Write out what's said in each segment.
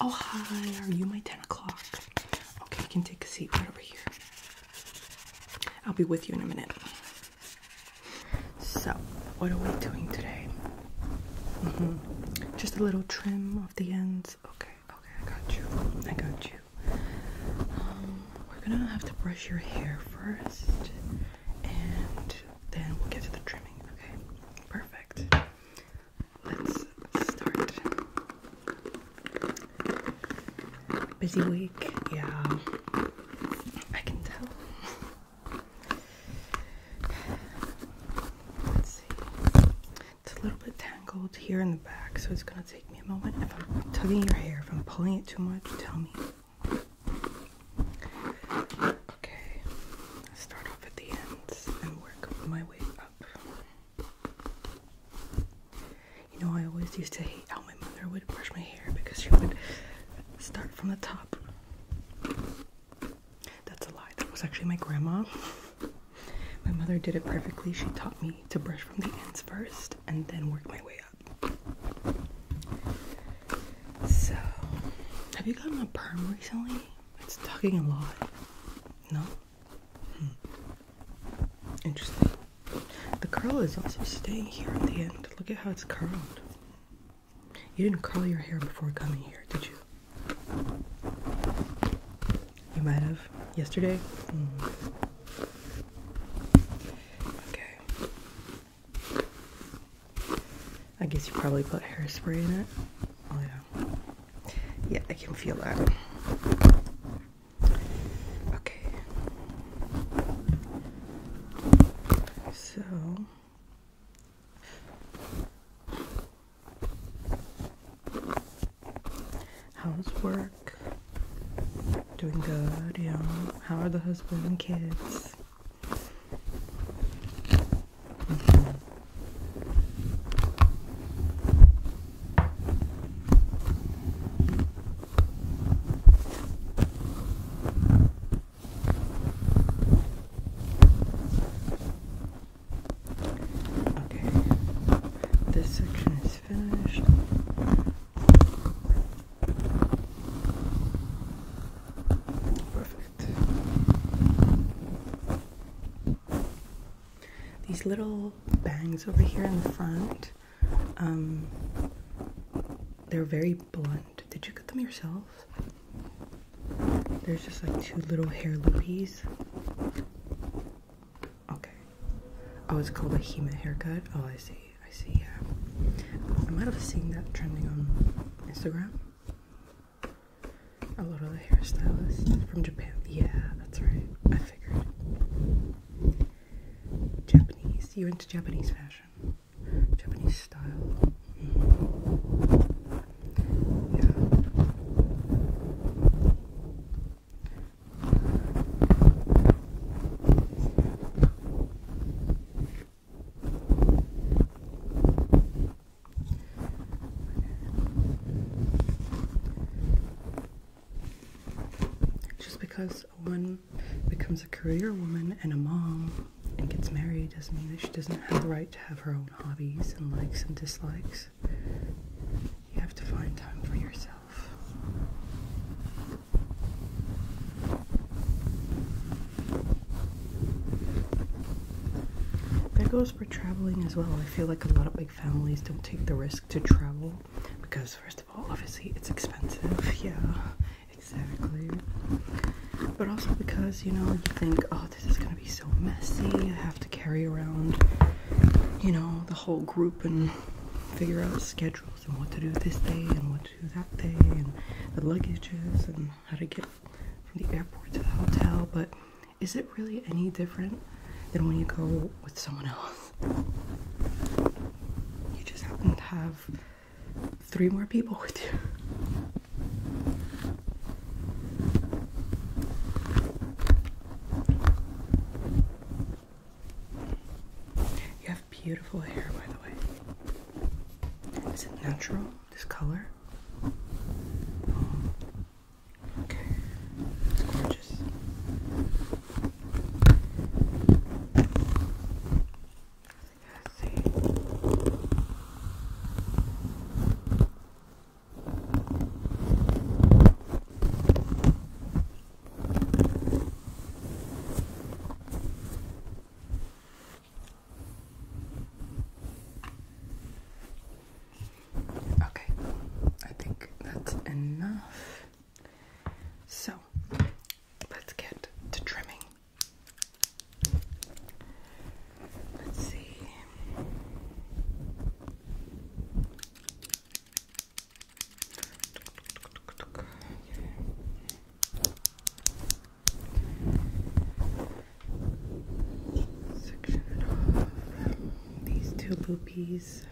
Oh, hi, are you my 10 o'clock? Okay, you can take a seat right over here. I'll be with you in a minute. So, what are we doing today? Mm -hmm. Just a little trim of the ends. Okay, okay, I got you. I got you. Um, we're gonna have to brush your hair first, and then we'll get to the trimming. Okay. Perfect. Let's start. Busy week, yeah. I can tell. It's a little bit tangled here in the back, so it's gonna take me a moment. If I'm tugging your hair, if I'm pulling it too much, tell me. Okay, start off at the ends and work my way up. You know, I always used to hate how my mother would brush my hair because she would start from the top. That's a lie. That was actually my grandma. My mother did it perfectly. She taught me to brush from the ends first and then work my way up. So, have you gotten a perm recently? It's talking a lot. No? Hmm. Interesting. The curl is also staying here at the end. Look at how it's curled. You didn't curl your hair before coming here, did you? You might have. Yesterday? Hmm. Okay. I guess you probably put hairspray in it. Oh, yeah. Yeah, I can feel that. Okay. So. How's work? Doing good, yeah. How are the husband and kids? Okay, this section is finished. Perfect. These little bangs over here in the front, um, they're very blunt. Did you cut them yourself? There's just like two little hair loopies. Okay. Oh, it's called a Hema haircut. Oh, I see. I see. I uh, might have seen that trending on Instagram. A lot of the hairstylists from Japan. Yeah, that's right. I figured. Japanese. You're into Japanese fashion, Japanese style. Mm-hmm. Yeah. Just because a woman becomes a career woman and a mom and gets married doesn't mean that she doesn't have the right to have her own hobbies and likes and dislikes. You have to find time for yourself. That goes for traveling as well. I feel like a lot of big families don't take the risk to travel because, first of all, obviously it's expensive. Yeah, exactly. But also because, you know, you think, oh, this is gonna be so messy. I have to carry around, you know, the whole group and figure out schedule and what to do this day and what to do that day and the luggages and how to get from the airport to the hotel. But is it really any different than when you go with someone else? You just happen to have three more people with you. You have beautiful hair, by the way. Is it natural, this color? Okay, it's gorgeous. Let's see. Okay, I think that's enough. So let's get to trimming. Let's see. Section off. These two loopies.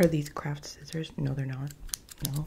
Are these craft scissors? No, they're not. No,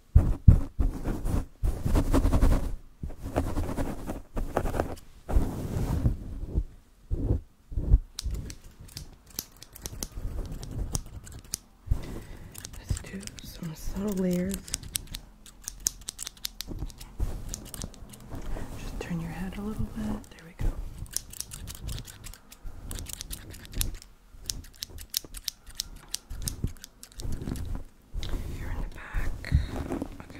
Let's do some subtle layers. Just turn your head a little bit. There we go. Here in the back. Okay. Okay.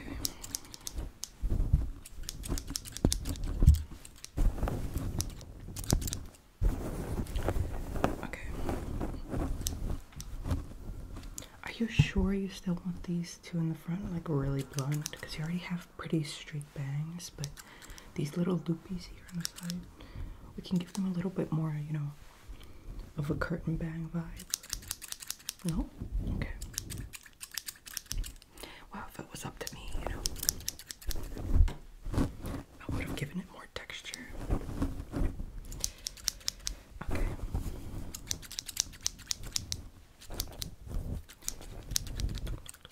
Are you sure you still want these two in the front like really blunt? Because you already have pretty straight bangs, but these little loopies here on the side. We can give them a little bit more, you know, of a curtain bang vibe. No? Okay. Wow, if it was up to me, you know, I would have given it more texture. Okay.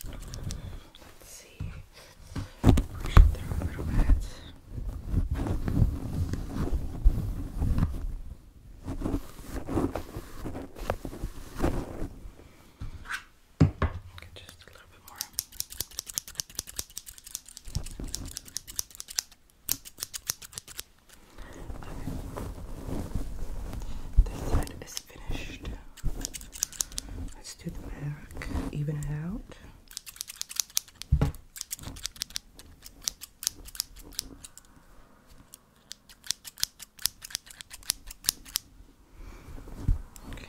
Let's see. Brush it through a little bit. just a little bit more. This side is finished. Let's do the back, even it out. Okay.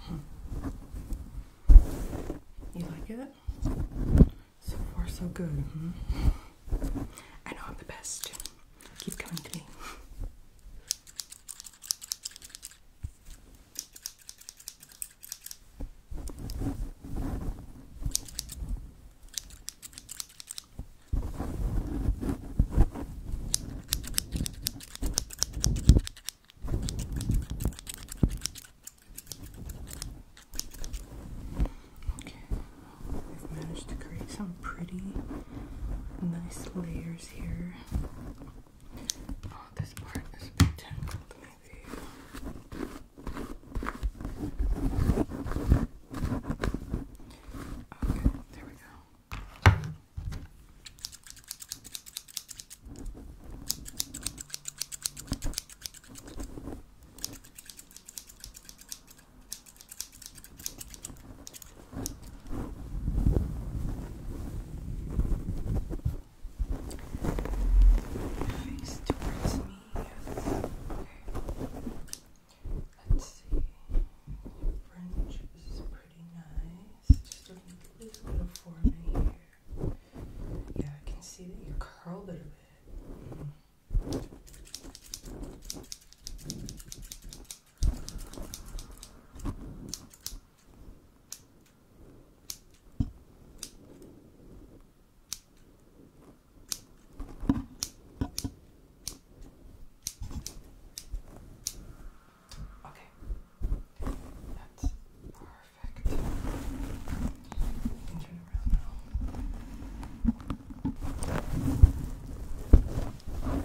Hmm. You like it? So far, so good. Hmm? I know I'm the best. Keep coming to me. Okay, I've managed to create some pretty nice layers here Oh, this part is a Okay, there we go. Face towards me, yes. Okay. Let's see. The fringe is pretty nice. Just a little bit of forming here. Yeah, I can see that you curled it a bit. Mm -hmm. Okay, that's perfect. Turn around now.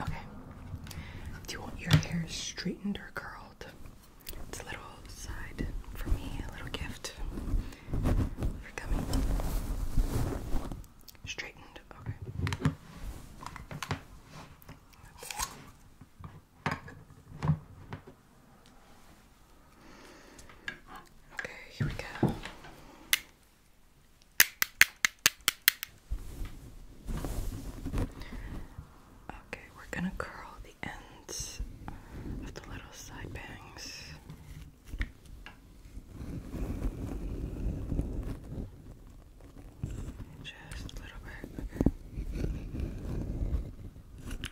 Okay. Do you want your hair straightened or curled? It's a little side for me, a little gift for coming. Straightened, okay. Okay, here we go. Okay, we're gonna curl the ends of the little side bangs. Just a little bit, okay.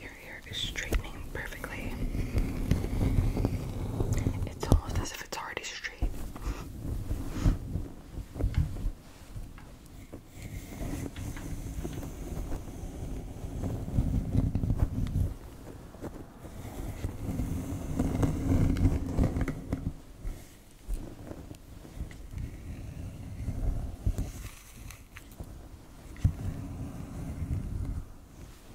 Your hair is straightening perfectly. It's almost as it's already straight.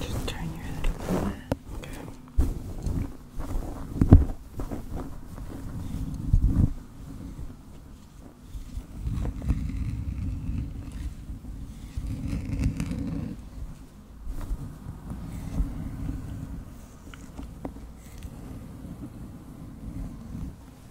Just turn your head a little bit. Okay. Okay.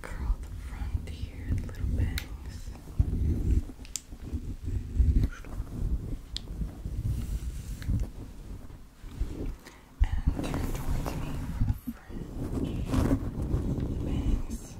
Curl the front here little bangs. And turn towards me French bangs.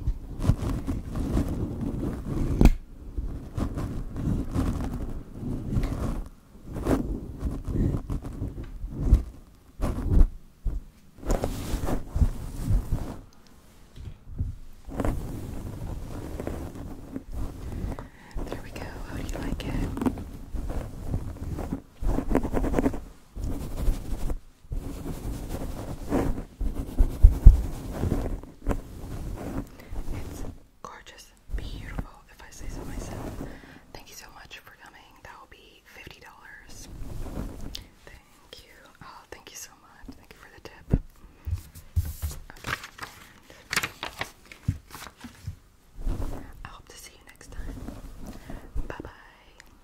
There we go. How do you like it? It's gorgeous, beautiful, if I say so myself. Thank you so much for coming. That will be $50. Thank you. Oh, thank you so much. Thank you for the tip. I hope to see you next time. Bye bye.